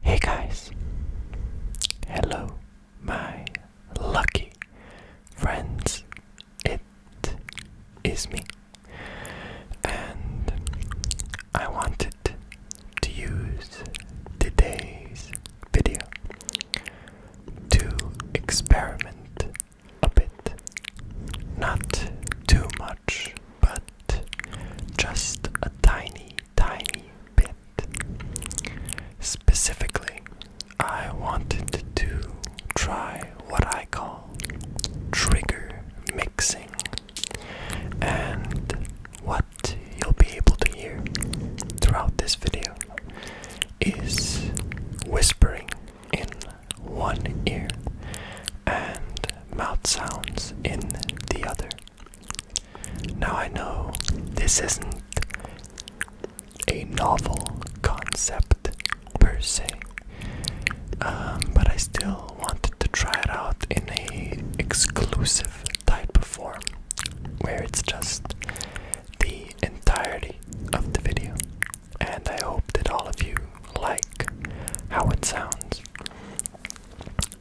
Hey guys, hello, my lucky friends. It is me, and I wanted to use today's video to experiment a bit, not too much but just a tiny, tiny bit. Specifically, I wanted to try what I call trigger mixing, and what you'll be able to hear throughout this video is whispering in one ear and mouth sounds in the other. Now I know this isn't a novel concept per se, um, but I still wanted to try it out in a exclusive type of form, where it's just the entirety of the video. And I hope that all of you like how it sounds.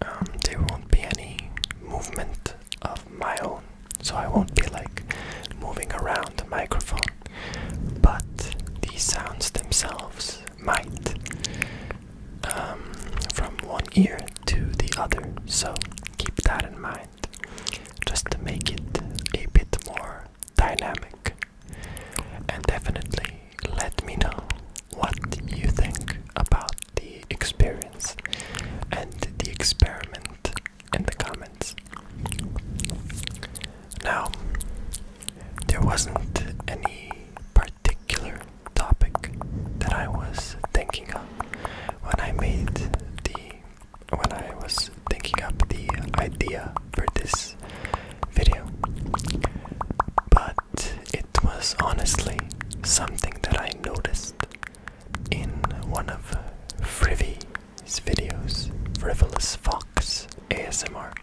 Um, there won't be any movement of my own, so I won't be like moving around the microphone. But these sounds themselves might um, from one ear to the other, so keep that in mind just to make it a bit more dynamic. And definitely let me know what you think about the experience and the experiment in the comments. Now, there wasn't any particular topic that I was thinking of when I made the when I was thinking up the idea for this video. But it was honestly something that I noticed in one of Frivvy's videos, Frivolous Fox ASMR.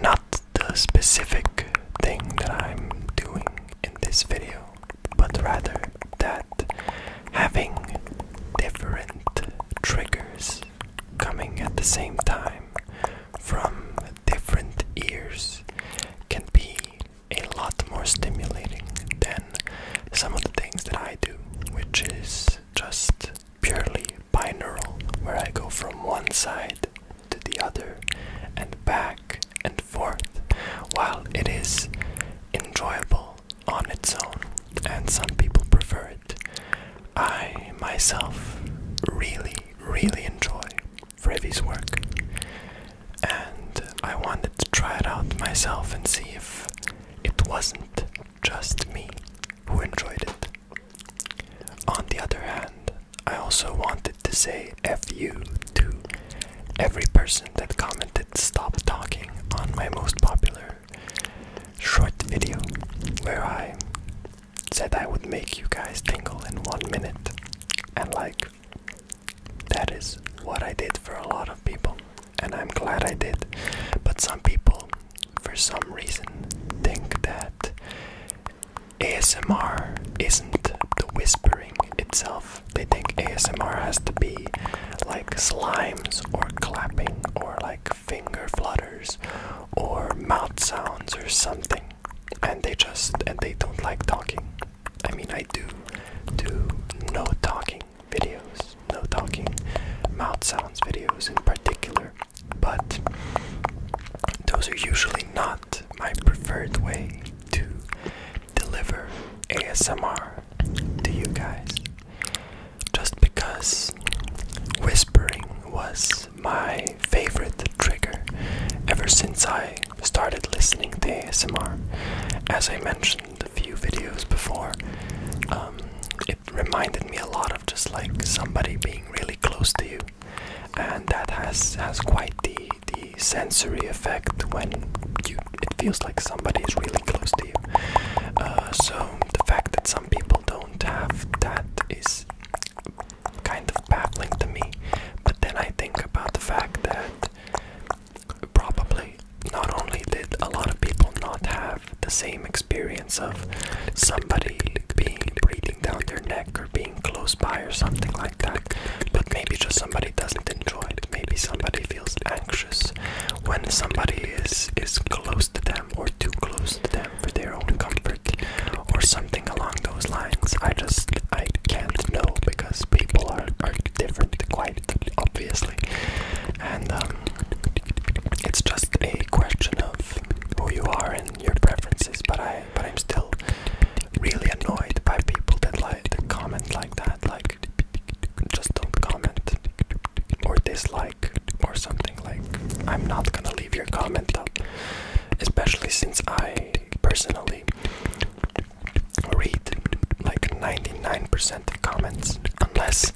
Not the specific thing that I'm doing in this video, but rather that having different triggers coming at the same time from different ears can be a lot more stimulating than some of the things that I do, which is just purely binaural, where I go from one side to the other and back and forth. While it is enjoyable on its own, and some people prefer it, I myself really, really enjoy Frevi's work, and I wanted to try it out myself and see if it wasn't just me who enjoyed it. On the other hand, I also wanted to say F U to every person that commented stop talking on my most popular short video where I said I would make you guys tingle in one minute. And like, that is what I did for a lot of people. And I'm glad I did. But some people, for some reason, think that ASMR isn't the whispering itself. They think ASMR has to be like slimes or clapping or like finger flutters or mouth sounds or something and they just and they don't like talking. I mean, I do do no talking videos, no talking mouth sounds videos in particular, but those are usually not my preferred way to deliver ASMR to you guys. Just because whispering was my favorite trigger ever since I started listening to ASMR. As I mentioned a few videos before, um, it reminded me a lot of just like somebody being really close to you, and that has has quite the the sensory effect when you it feels like somebody is really close to you. Uh, so the fact that some people don't have that is kind of baffling to me. But then I think about the fact that probably not only did a lot of people not have the same experience of somebody being breathing down their neck or being close by or something like that, but maybe just somebody doesn't enjoy it. Maybe somebody feels anxious when somebody is is close to them or too close to them for their own comfort or something along those lines. I just I can't know because people are, are different quite obviously. And um, it's just a question of who you are and your preferences, but I but I'm still really annoyed by people that like that comment like that, like just don't comment or dislike or something like I'm not gonna leave your comment up, especially since I personally read like 99% of comments unless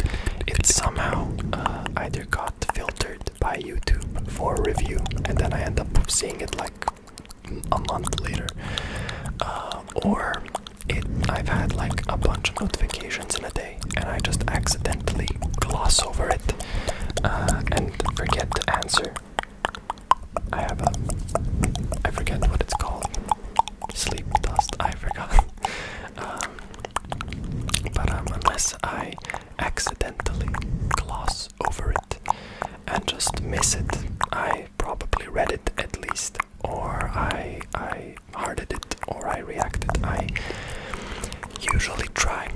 it somehow uh, either got filtered by YouTube for review and then I end up seeing it like a month later uh, or it I've had like a bunch of notifications in a day and I just accidentally gloss over it uh, and forget to answer. I have a. I forget what it's called. Sleep dust, I forgot. um, but um, unless I accidentally gloss over it and just miss it, I probably read it at least, or I I hearted it, or I reacted. I usually try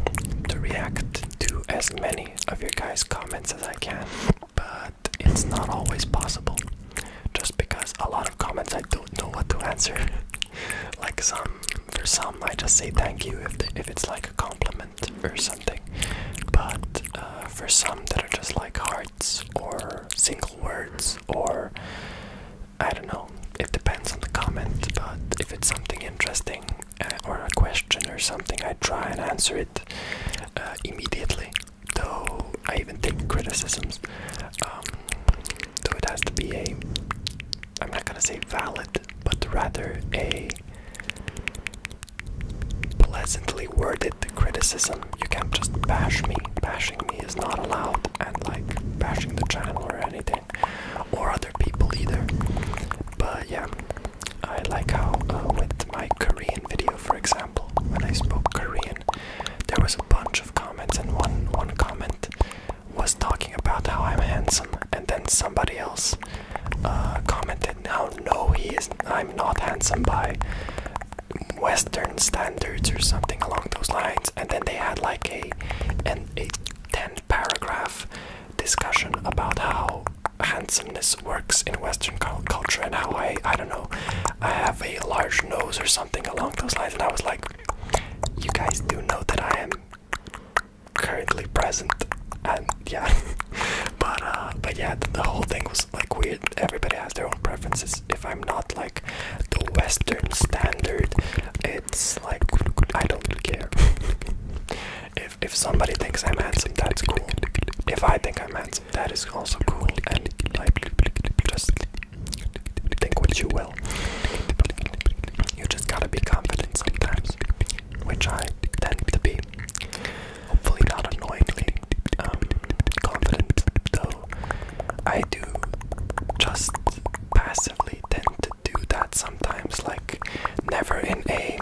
to react to as many of your guys' comments as I can, but it's not always possible just because a lot of comments I don't know what to answer. like some, for some, I just say thank you if, if it's like a compliment or something, but uh, for some that are just like hearts or single words or I don't know, it depends on the comment, but if it's something interesting uh, or a question or something, I try and answer it uh, immediately. Though I even take criticisms, um, though it has to be a, I'm not gonna say valid, but rather a pleasantly worded criticism. You can't just bash me. Bashing me is not allowed, and like bashing the channel or anything or other people either. But yeah, I like how uh, with my Korean video, for example, when I spoke Korean, there was a bunch of comments, and one one comment was talking about how I'm handsome, and then somebody else uh, commented, "Now, no, he is. I'm not handsome by." Western standards or something along those lines, and then they had like a and a 10th paragraph discussion about how handsomeness works in Western culture and how I, I don't know, I have a large nose or something along those lines. And I was like, you guys do know that I am currently present. And yeah, but uh, but yeah, the, the whole thing was like weird. Everybody has their own preferences. If I'm not like the Western standard. It's like I don't care. if if somebody thinks I'm handsome, that's cool. If I think I'm handsome, that is also cool. And like just think what you will. You just gotta be confident sometimes, which I tend to be. Hopefully not annoyingly um, confident, though I do just passively tend to do that sometimes, like never in a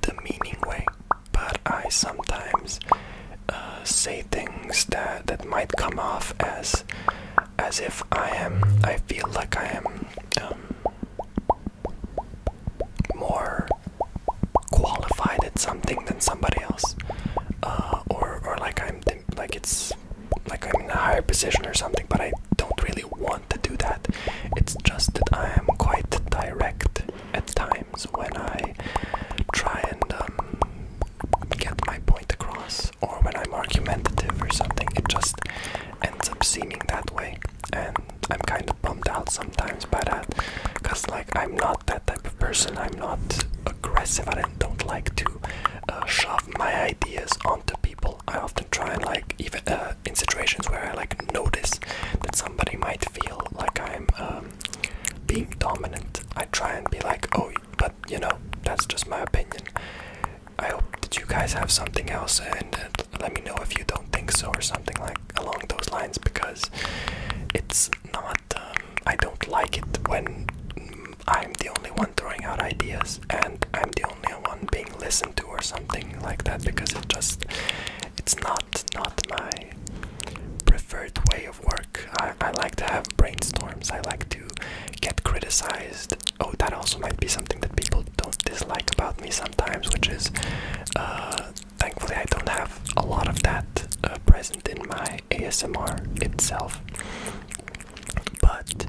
demeaning way, but I sometimes uh, say things that that might come off as as if I am I feel like I am um, more qualified at something than somebody else, uh, or or like I'm like it's like I'm in a higher position or something, but I don't really want to do that. It's just that I am quite direct at times when I try and um, get my point across, or when I'm argumentative or something. It just ends up seeming that way, and I'm kind of bummed out sometimes by that, because like I'm not that type of person. I'm not aggressive. I don't like to uh, shove my ideas onto people. I often try and like even uh, in situations where I like notice that somebody might feel like I'm um, being dominant. I try and be like, oh, but you know, that's just my opinion. I hope that you guys have something else, and uh, let me know if you don't think so or something like along those lines because it's not. Um, I don't like it when I'm the only one throwing out ideas and I'm the only one being listened to or something like that because it just it's not not my preferred way of work. I, I like to have brainstorms. I like to get criticized. Oh, that also might be something that people don't dislike about me sometimes, which is uh, thankfully I don't have a lot of that uh, present in my ASMR itself. But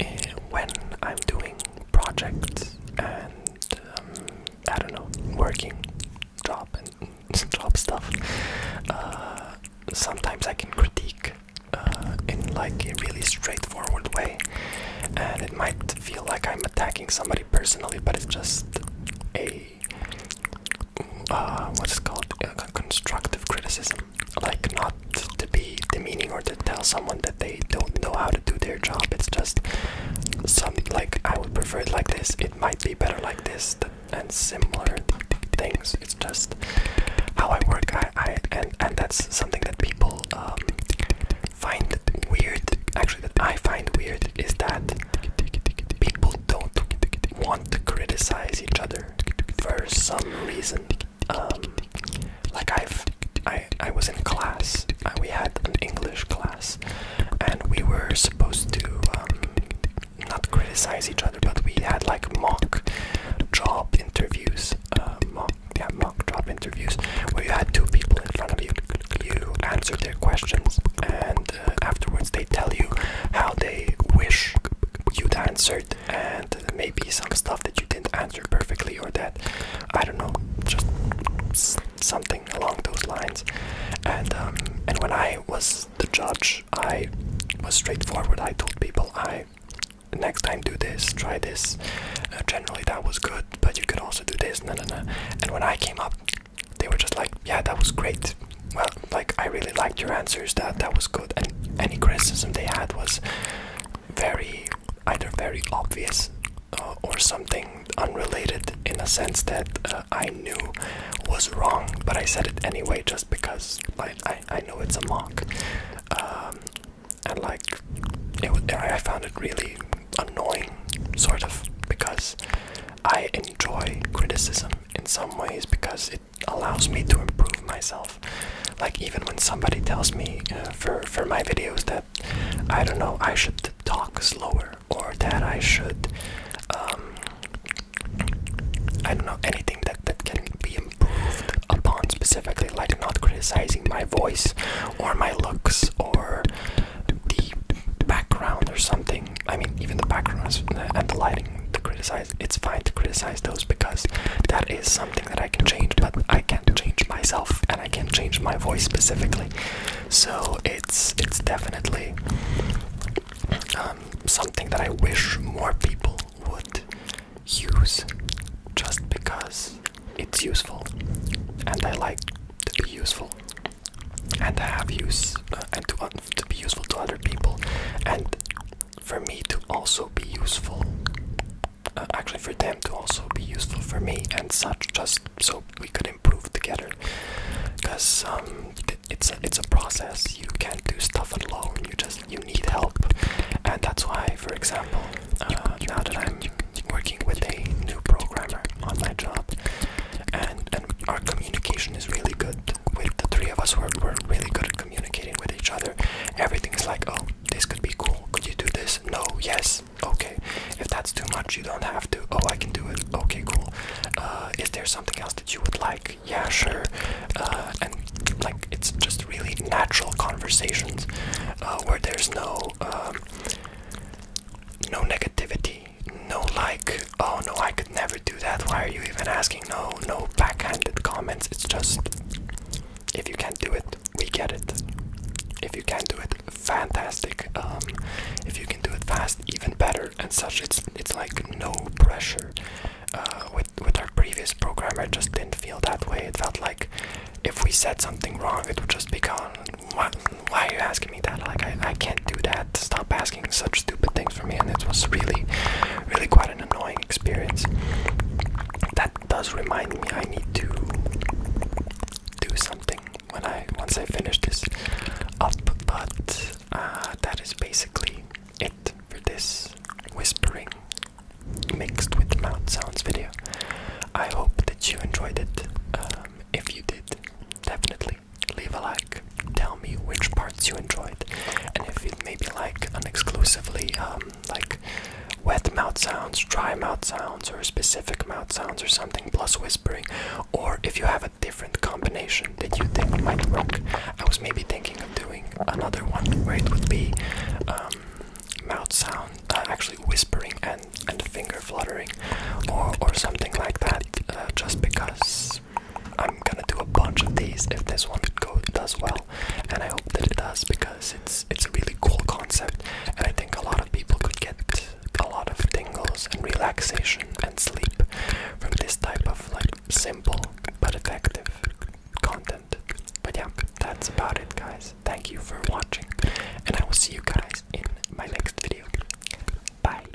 eh, when I'm doing projects and um, I don't know, working, job and job stuff, uh, sometimes I can critique uh, in like a really straightforward way, and it might feel like I'm attacking somebody personally, but it's just a uh, what's called constructive criticism like not to be demeaning or to tell someone that they don't know how to do their job. It's just something like I would prefer it like this. It might be better like this and similar things. It's just how I work. I, I and and that's something that people um, find weird. Actually, that I find weird is that people don't want to criticize each other for some reason. Um, like i I, I was in class. Uh, we had an English class, and we were supposed to um, not criticize each other, but we had like mock job interviews. Uh, yeah, mock job interviews where you had two people in front of you. You answer their questions, and uh, afterwards they tell you how they wish you'd answered and maybe some stuff that you didn't answer perfectly or that I don't know just something along those lines and um, and when I was the judge I was straightforward I told people I next time do this try this uh, generally that was good but you could also do this no no no and when I came up they were just like yeah that was great well, like I really liked your answers. That that was good. And any criticism they had was very either very obvious uh, or something unrelated in a sense that uh, I knew was wrong, but I said it anyway just because I I know it's a mock, um, and like it I found it really annoying, sort of because. I enjoy criticism in some ways because it allows me to improve myself. Like even when somebody tells me uh, for for my videos that I don't know I should talk slower or that I should um, I don't know anything that that can be improved upon specifically, like not criticizing my voice or my looks or the background or something. I mean, even the background and the lighting. to criticize it's fine to criticize those because that is something that I can change but I can't change myself and I can't change my voice specifically so it's it's definitely um, something that I wish more people would use just because it's useful and I like to be useful and to have use uh, and to, to be useful to other people and for me to also be useful. Uh, actually, for them to also be useful for me and such, just so we could improve together. Because um, it's a, it's a process. You can't do stuff alone. You just you need help, and that's why, for example, uh, now that I'm working with a new programmer on my job, and and our communication is really good with the three of us we're, we're really good at communicating with each other everything's like oh this could be cool could you do this no yes okay if that's too much you don't have to oh i can do it okay cool uh, is there something else that you would like yeah sure uh, and like it's just really natural conversations uh, where there's no um, no negativity no like Oh no, I could never do that. Why are you even asking? No, no backhanded comments. It's just if you can't do it, we get it. If you can do it, fantastic. Um, if you can do it fast, even better, and such. It's it's like no pressure. Uh, with with our previous programmer, it just didn't feel that way. It felt like if we said something wrong, it would just be gone. Why, why are you asking me that? Like I, I can't do that stop asking such stupid things for me, and it was really, really quite an annoying experience. That does remind me I need to do something when I once I finish this up, but uh, that is basically it for this whispering mixed with mouth sounds video. I hope that you enjoyed it. Um, if you did, definitely leave a like, tell me which parts you enjoyed, and if it may be like an exclusively um, like wet mouth sounds, dry mouth sounds, or specific mouth sounds, or something plus whispering, or if you have a different combination that you think might work. I was maybe thinking of doing another one where it would be um, mouth sound, uh, actually whispering and and finger fluttering, or or something like that, uh, just because I'm gonna do a bunch of these if this one go does well, and I hope that it does because it's it's a really cool concept, and I think a lot of people could get a lot of tingles and relaxation and sleep from this type of like simple but effective content. But yeah, that's about it, guys. Thank you for watching, and I will see you guys in my next video. Bye.